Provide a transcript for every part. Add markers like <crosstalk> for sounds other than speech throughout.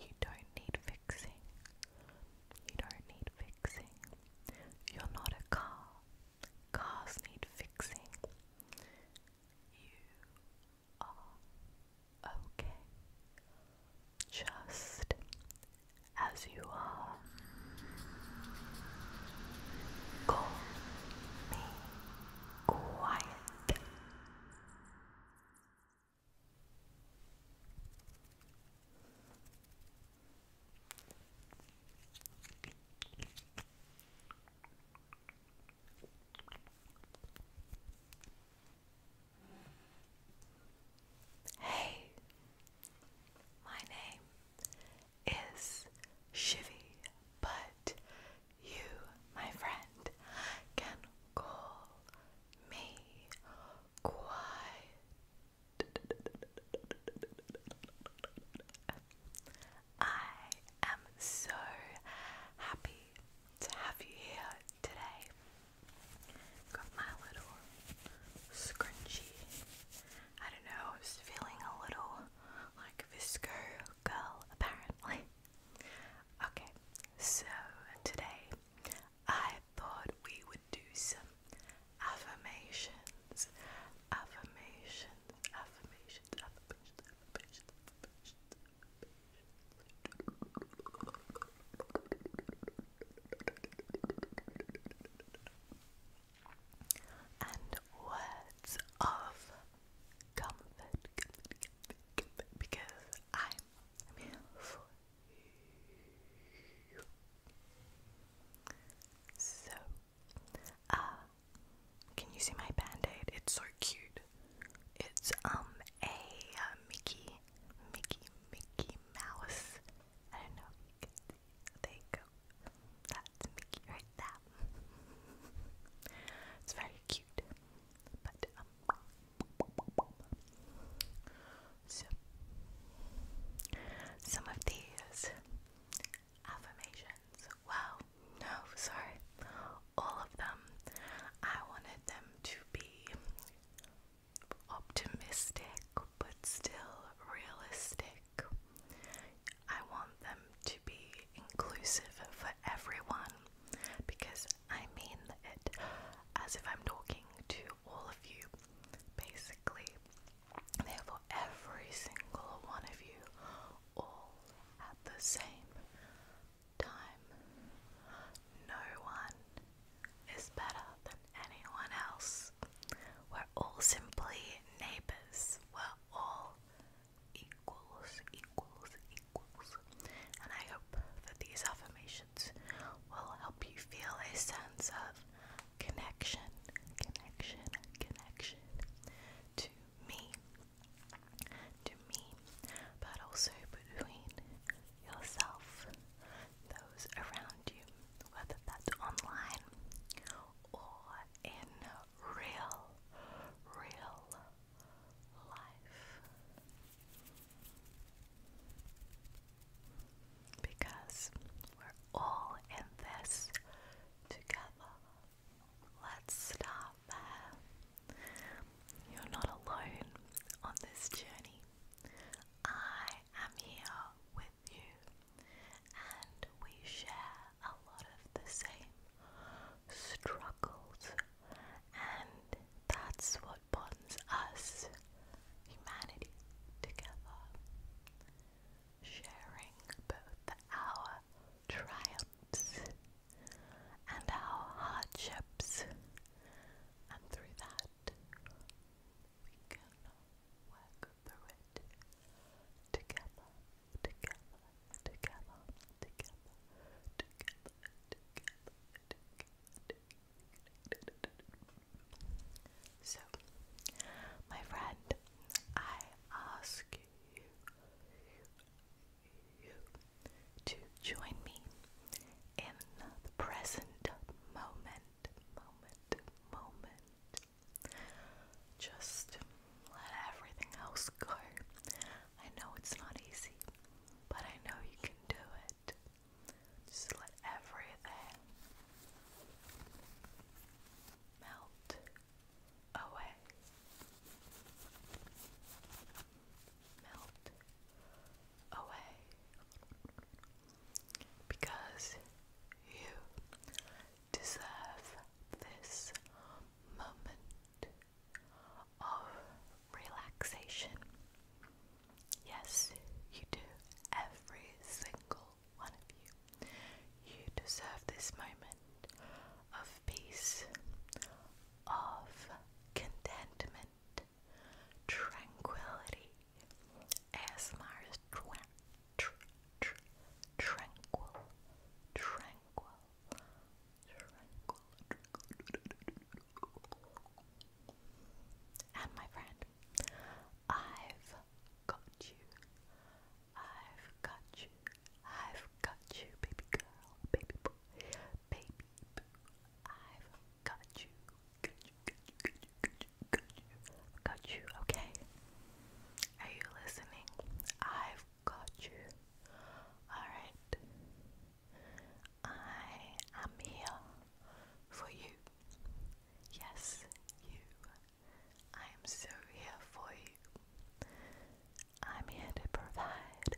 You don't need fixing. You don't need fixing. You're not a car. Cars need fixing. You are okay. Just as you are. Call me quiet. Hey, my name is Shivy, but you, my friend, can call me quiet. I am so happy to have you here today. Got my little scrunchie. I don't know, I was feeling a little like Visco girl apparently. <laughs> Okay, so today I thought we would do some affirmations. Affirmations, affirmations, affirmations, affirmations, affirmations. And words of comfort, comfort, comfort, comfort because I am here for you. So, uh, can you see my band-aid? It's so cute. It's, um, a uh, Mickey, Mickey, Mickey Mouse. I don't know if you can see. There you go. That's Mickey right there. <laughs> it's very cute. But um, some of these affirmations, well, no, sorry, all of them, I wanted them to be optimistic but still realistic. I want them to be inclusive for everyone because I mean it as if I'm talking to all of you, basically. Therefore, every single one of you, all at the same time. No one is better than anyone else. We're all simply neighbours. We're all equals, and I hope that these affirmations will help you feel a sense of connection, connection, connection to me, to me, but also between yourself, those around you, whether that's online or in real, real life. Because we're all in this together. Let's start there. You're not alone on this journey. I am here with you, and we share a lot of the same struggles, and that's what bonds us, humanity, together. Sharing both our triumphs and our hardships, and through that, we can work through it together, together, together, together, together, so, my friend, I ask you, to join me in the present moment. Just let everything else go. I know it's not easy, but I know you can do it. Just let everything melt away. Melt away. Because you deserve this moment of relaxation. Yes, you do. Every single one of you. You deserve this moment of peace, of contentment, tranquility. As is tranquil, tranquil, and my friend, I've got you. I've got you. I've got you, baby girl, baby boy, baby boo. I've got you. Got you, got you, got you, got you, got you. Got you, okay? Are you listening? I've got you. Alright. I am here for you. Yes, you. I am so here for you. I'm here to provide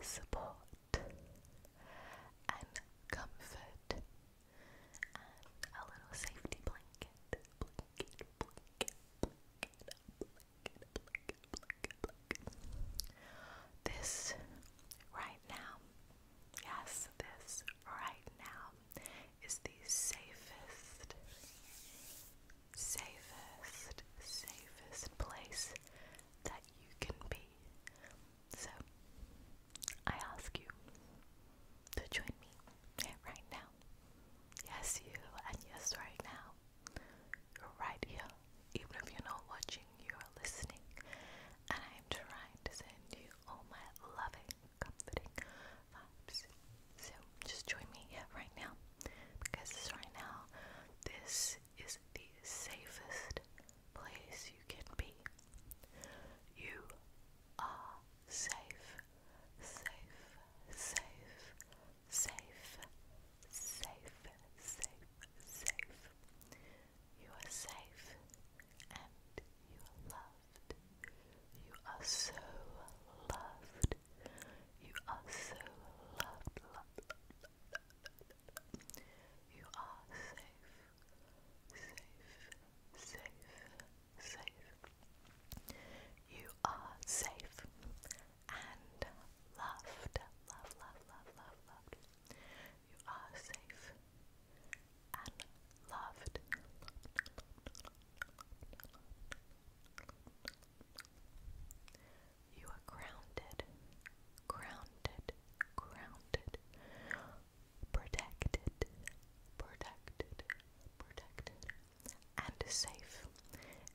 support and comfort and a little safety blanket. blanket. This right now, yes, this right now is the safest, safest, safest place that you can be. So, I ask you to join me right now. Yes, you, and yes, right now. You're right here, even if you're not watching you are listening, and I am trying to send you all my loving, comforting vibes. So just join me right now, because right now, this is the safest place you can be. You are safe, safe, safe, safe, safe, safe, safe. You are safe and you are loved. You are so loved. You are so loved. You are safe, safe, safe, safe. You are safe and loved. Love, love, love, love, love, loved. You are safe and loved. You are grounded, grounded, grounded, protected, protected, protected, and safe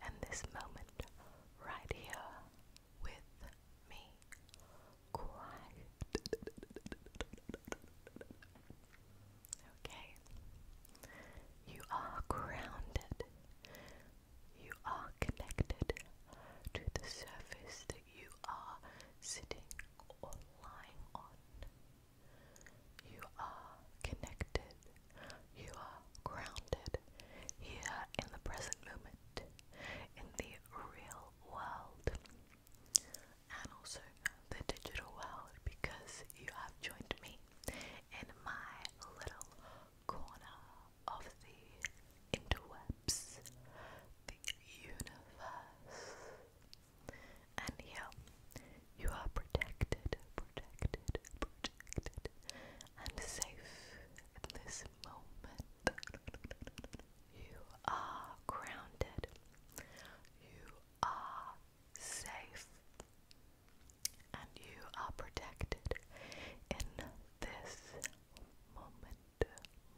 in this moment right here with me quiet. Okay. You are grounded. You are connected to the surface that you are sitting or lying on. You are connected. You are grounded here in the present moment in the real world and also the digital world because you have joined me in my little corner of the interwebs, the universe. And here you are protected, protected, protected, and safe in this moment, you are grounded, you are safe, and you are protected in this moment,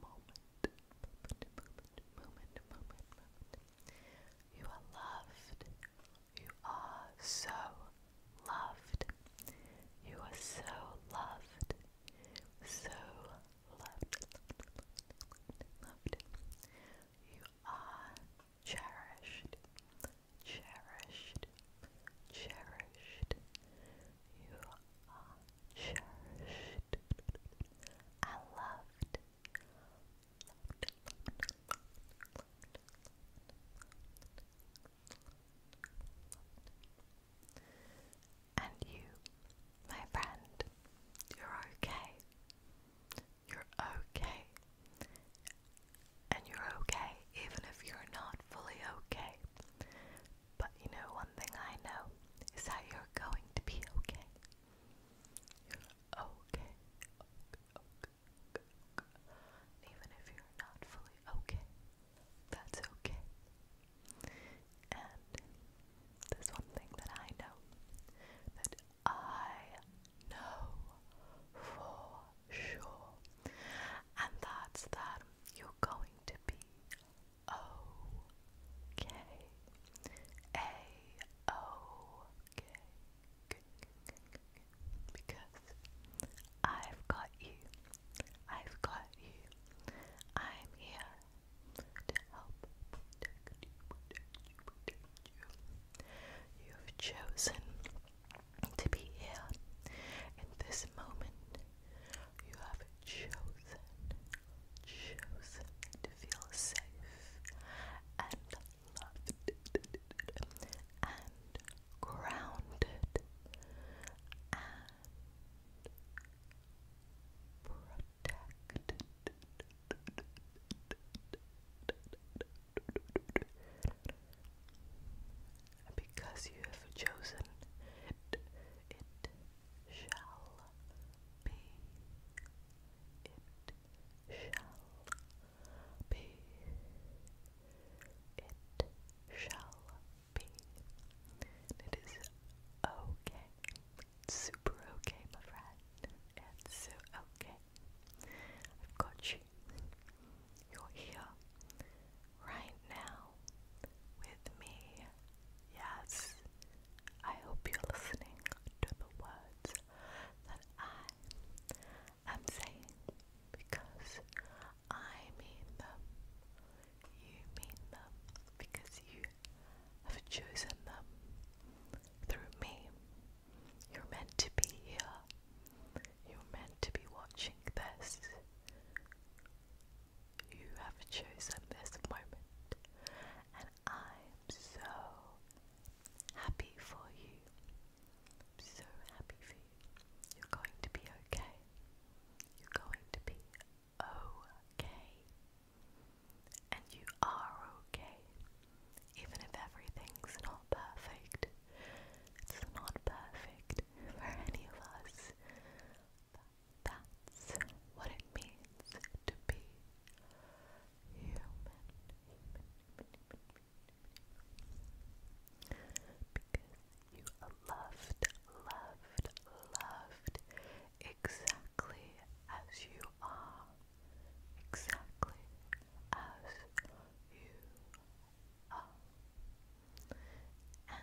moment, moment, moment, moment, moment. You are loved. You are so loved. You are so loved so loved, loved, You are cherished, cherished, cherished. You are cherished and loved, loved, loved. And you, my friend, you're okay. You're okay. And you're okay, even if you're not fully okay. But you know, one thing I know is that you're going to be okay. You're okay, Even if you're not fully okay, that's okay. And there's one thing that I know that I know for sure, and that's that you're going to be okay. A Because I've got you. I've got you. I'm here to help you, have chosen to be here in this moment. You have chosen, chosen to feel safe and loved and grounded protect because you have chosen it, it shall be. It shall be. It shall it is okay. super okay, my friend. It's okay. I've got you. You're here right now with me. Yes. I hope you're listening to the words that I am saying because I mean them. You mean them because you have chosen them through me. You're meant to be here. You're meant to be watching this. You have chosen this moment, and I'm so happy for you. so happy for you. You're going to be okay. You're going to be okay. And you are okay. Even if everything's not perfect, it's not perfect for any of us. that's what it means to be human. Because you loved, loved, loved exactly as you are. Exactly as you are. And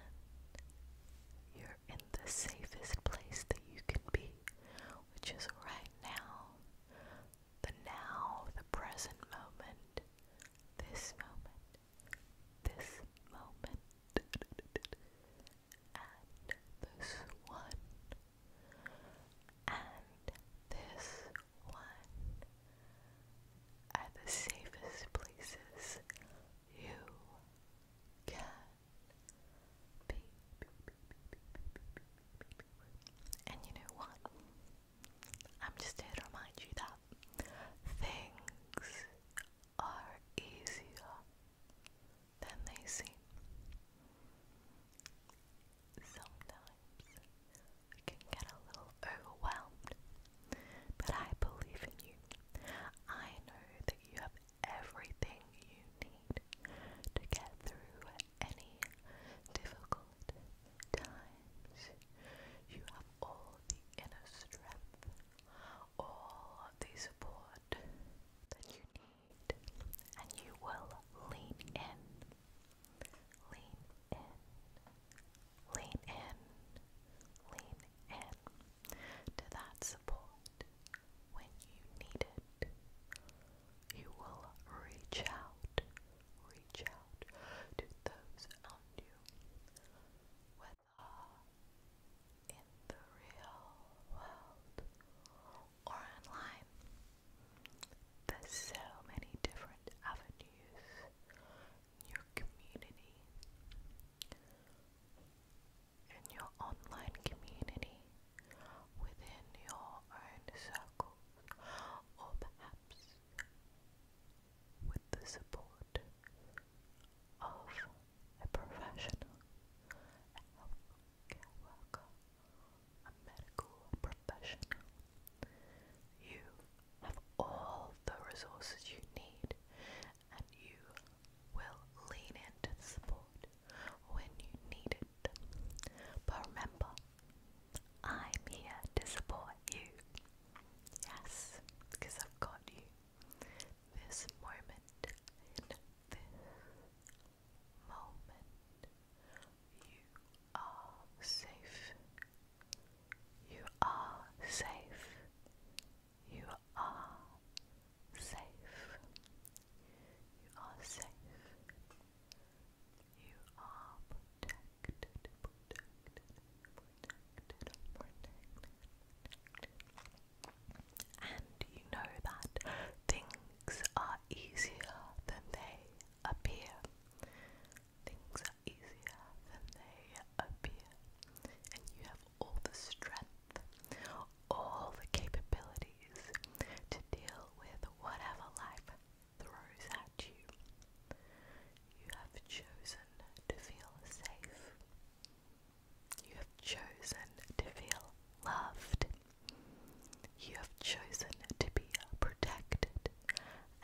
you're in the safest place that you can be, which is right now. The now, the present moment, this moment, this moment and this one and this one are the safest places you can be. And you know what? I'm just here to remind you that things are easier than they seem. Sometimes you can get a little overwhelmed, but I believe in you. I know that you have everything you need to get through any difficult times. You have all the inner strength all the support that you need, and you will lean in, lean in, lean in, lean in to that support when you need it. You will reach out, reach out to those around you either in the real world or online. There's so many different avenues your community, in your online community, within your own circles, perhaps with the support of a professional, healthcare worker, a medical professional. You have all the resources you need and you will lean into support when you need it. But remember, I'm here to support you. Yes, because I've got you this moment, in this moment, you are safe. You are safe. You are safe. You are safe. You are protected, protected, And you know that things are easier than they appear. Things are easier than they appear. And you have all the strength, all the capabilities to deal with whatever life throws at you. You have chosen to feel safe. You have chosen to feel loved. You have chosen to be protected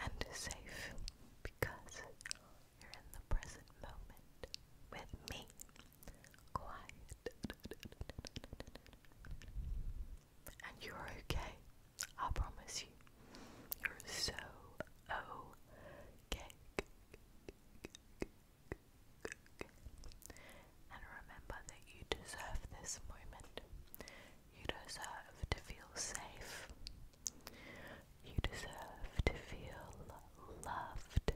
and safe because you're in the present moment with me. Quiet. And you're okay. I promise you. You're so okay. And remember that you deserve this moment. You deserve to feel safe. You deserve to feel loved.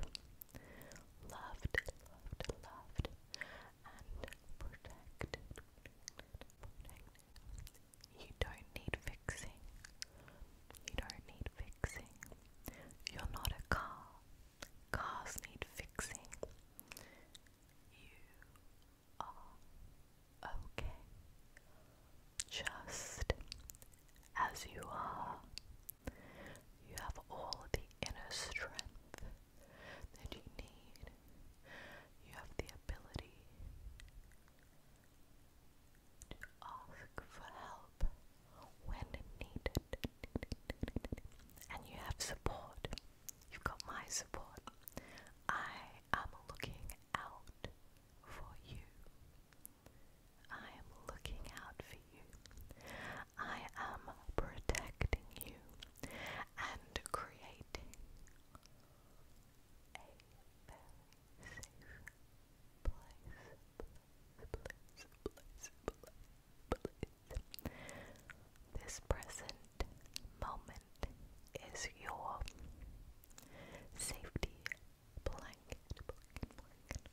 Loved, loved, loved. And protected. Protected. You don't need fixing. You don't need fixing. You're not a car. Cars need fixing. You are okay. Just as you are. You have all the inner strength that you need. You have the ability ask for help when needed. And you have support. You've got my support. I am looking out for you. I am looking out for you. I am protecting you and creating a very safe place this present moment is your safety blanket, blanket.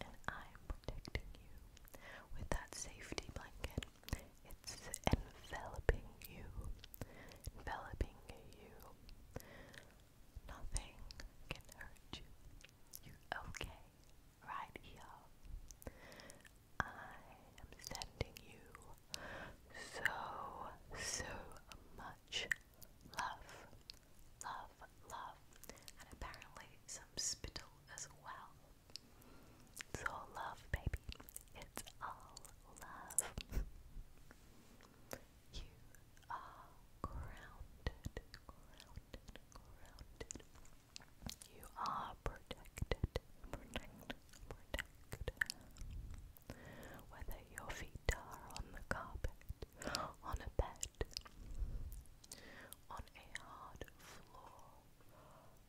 And I'm protecting you with that safety blanket. It's enveloping you, enveloping you. Nothing can hurt you. You're okay right here. I am sending you so, so much love. Love, love. And apparently some spittle as well. It's all love, baby. It's all love. You are grounded, grounded, grounded. You are protected, protected, protected. Whether your feet are on the carpet, on a bed, on a hard floor,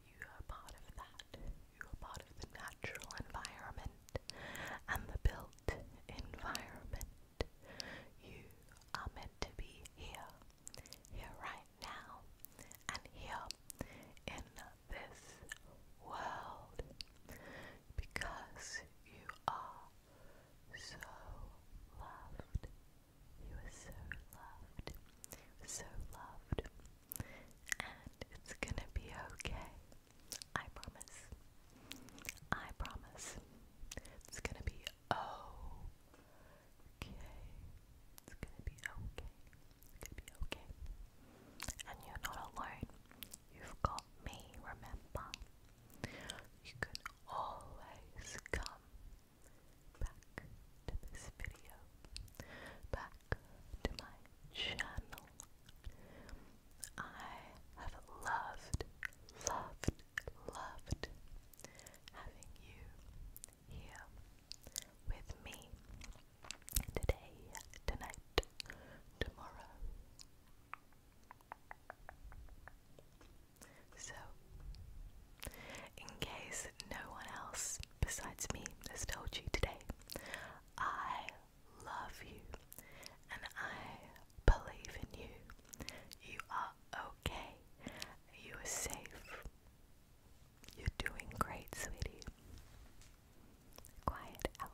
you are part of that. You are part of the natural environment and the built environment. You are meant to be here, here right now, and here in this world because you are so loved. You are so loved, so loved, and it's gonna be okay. I promise. I promise. It's gonna be okay. It's gonna be okay. It's gonna be okay. And you're not alone. You've got me, remember? You can always come back to this video, back to my channel, I have loved, loved, loved having you here with me today, tonight, tomorrow. So, in case no one else besides me has told you today, I love you and I believe in you. You are okay. You are safe. You're doing great, sweetie. Quiet out.